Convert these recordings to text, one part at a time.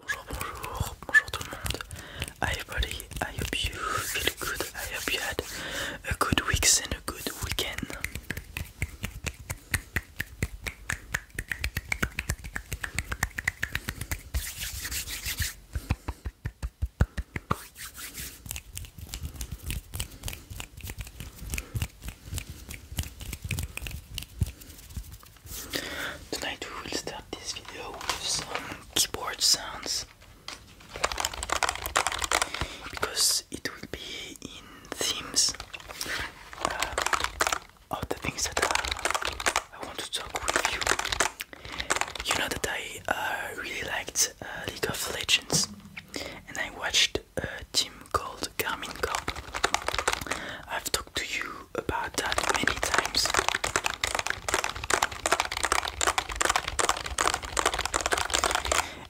Bonjour, bonjour, bonjour tout le monde. Hi everybody, I hope you feel good. I hope you had a good week and a good weekend. Tonight we will start this video with some keyboard sounds because it will be in themes uh, of the things that I, uh, I want to talk with you. You know that I uh, really liked League of Legends and I watched a team called called Garmin cord. I've talked to you about that many times.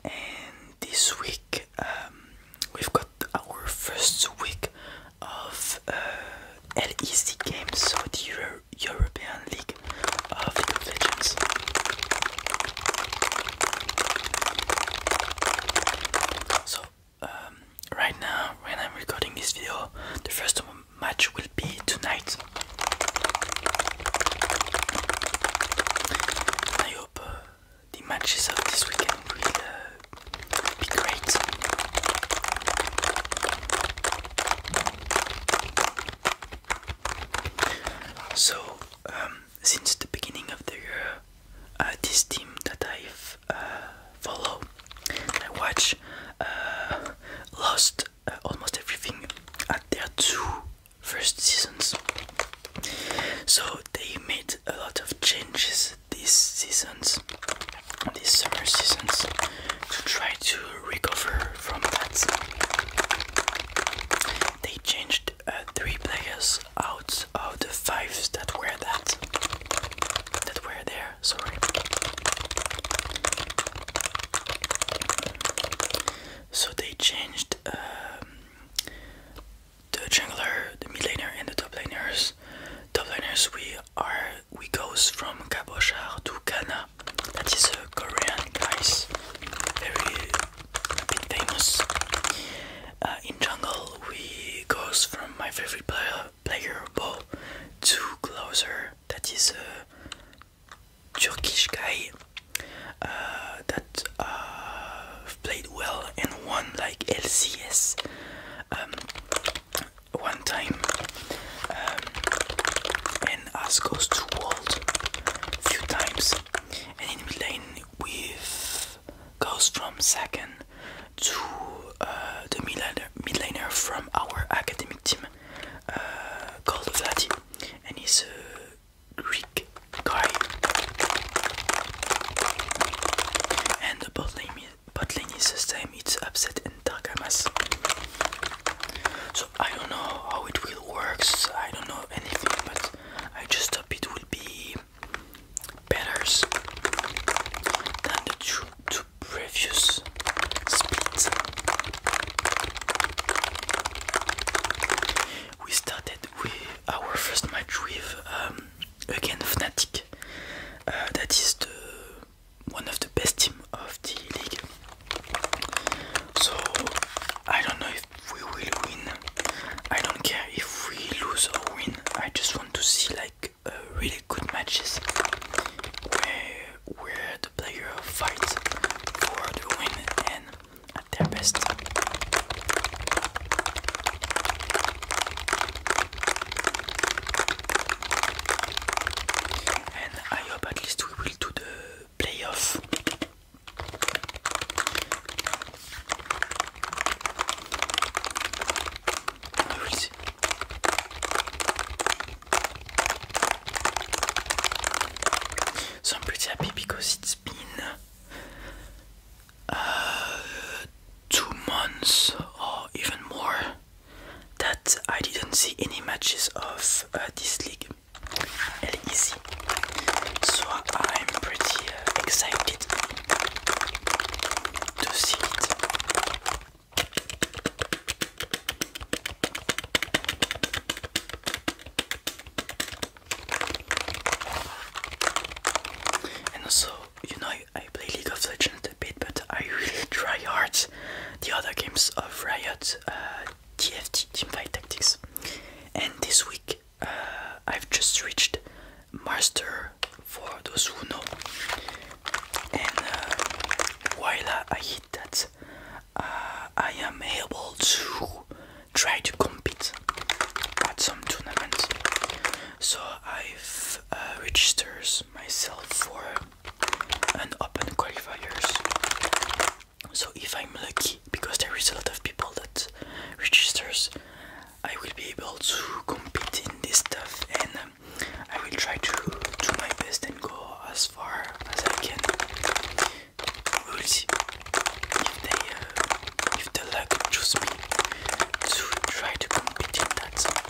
And this week um, we've got our first week of uh, LEC games, so the European League of League of Legends. So um, right now, when I'm recording this video, the first match will be tonight. I hope uh, the matches of this weekend will uh, be great. So, um, since the beginning of the year, uh, this team that I've follow. I watch uh, Lost uh, almost everything at their two first seasons. So they made a lot of changes these seasons, these summer seasons, to try to recover from that. They changed uh, three players out pictures of the fives that were that that were there, sorry. So they changed um, the jungler, the mid laner and the top laners. Top laners we are we goes from Kabochar to Kana. That is a Korean guys. Very famous. Uh, in jungle ball we goes from my favorite player player ball to closer that is a uh, Turkish guy uh, that uh, played well and won like LCS um, one time um, and us goes to world a few times and in mid lane with goes from second to uh, the midliner, midliner from our academic team uh, called Vladi, and he's a Greek guy. And the bot lane, bot lane is the same, it's upset and Takamas. So I don't know how it will work, I don't know anything, but I just hope it will be betters than the two, previous splits. We started with our first match with um, again Fnatic, uh, that is the one of the best team of the league. So I don't know if we will win. I don't care if we lose or win. I just want to see like a uh, really good matches where, where the player fights for the win and at their best. And I hope at least we will do the playoffs. Louise. So I'm pretty happy because it's been uh, two months or even more that I didn't see any matches of uh, this league elle So I'm pretty euh, excited to see it. And also, you know, I play League of Legends a bit, but I really try hard the other games of Riot, uh, TFT, Teamfight Tactics. And this week, I've just reached master for those who know. And uh, while I hit that, uh, I am able to try to compete at some tournaments. So I've uh, registered myself for an open qualifiers so if I'm lucky, because there is a lot of people that registers, I will be able to compete in this stuff, and um, I will try to do my best and go as far as I can. We if they, uh, if the luck choose me to try to compete in that.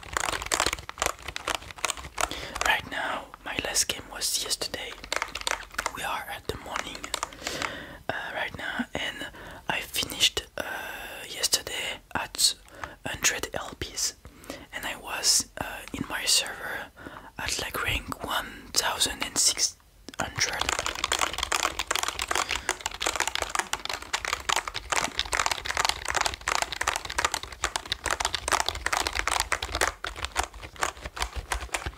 Right now, my last game was yesterday. We are at the morning uh, right now, and I finished uh, yesterday at 100 LPs, and I was uh, in my server at like rank 1600.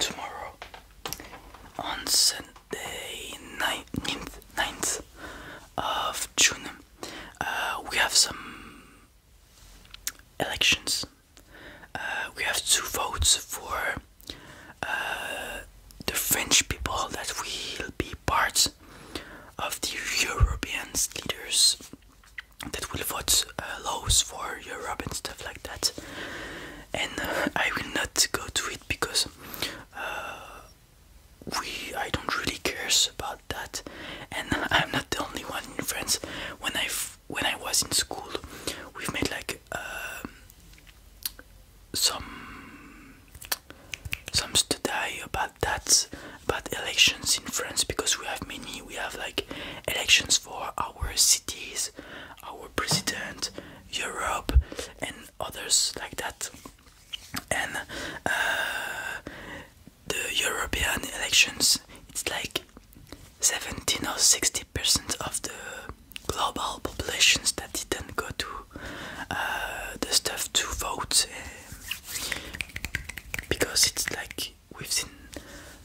Tomorrow on Sunday, the 9th, of June, uh, we have some elections. Uh, we have two votes for uh, the French people that will be part of the European leaders that will vote laws for Europe and stuff like that. And I will not go to it because uh, we I don't really care about that, and I'm not the only one in France. When I when I was in school, we've made like um, some some study about that about elections in France because we have many. We have like elections for our cities, our president, Europe, and others like that. And uh, the European elections, it's like 17 or 60 percent of the global populations that didn't go to uh, the stuff to vote because it's like we've seen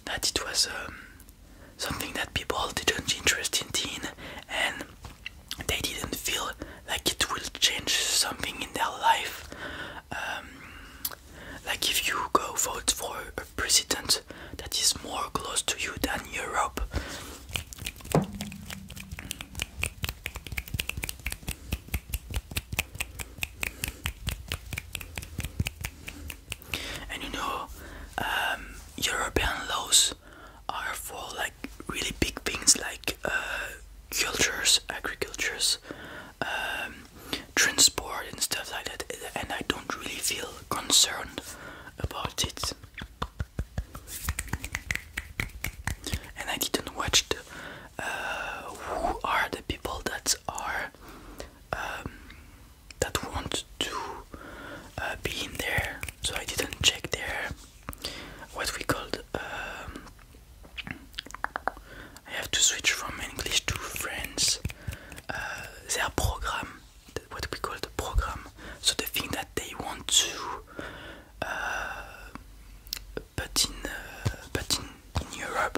that it was um, something that people didn't interest in and they didn't feel like it will change something in their life. Um, like if you go vote for a president that is more close to you than Europe and you know um, European laws are for like really big things like uh, cultures, agricultures, um, transport and stuff like that and I don't really feel concerned about it and I didn't watch the, uh, who are the people that are um, that want to uh, be in there, so I didn't check their what we called. Um, I have to switch from English to French. Uh, their program, what we call the program, so the thing that they want to uh, put in, uh, in, in Europe.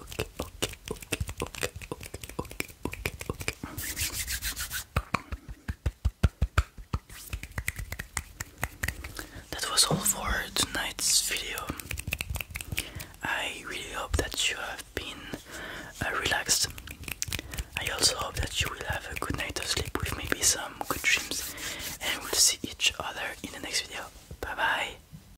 Okay, okay, okay, okay, okay, okay, okay, okay. That was all for tonight's video. I really hope that you have been uh, relaxed. I also hope that you will have a good night of sleep with maybe some good dreams, and we'll see each other in the next video. Bye bye.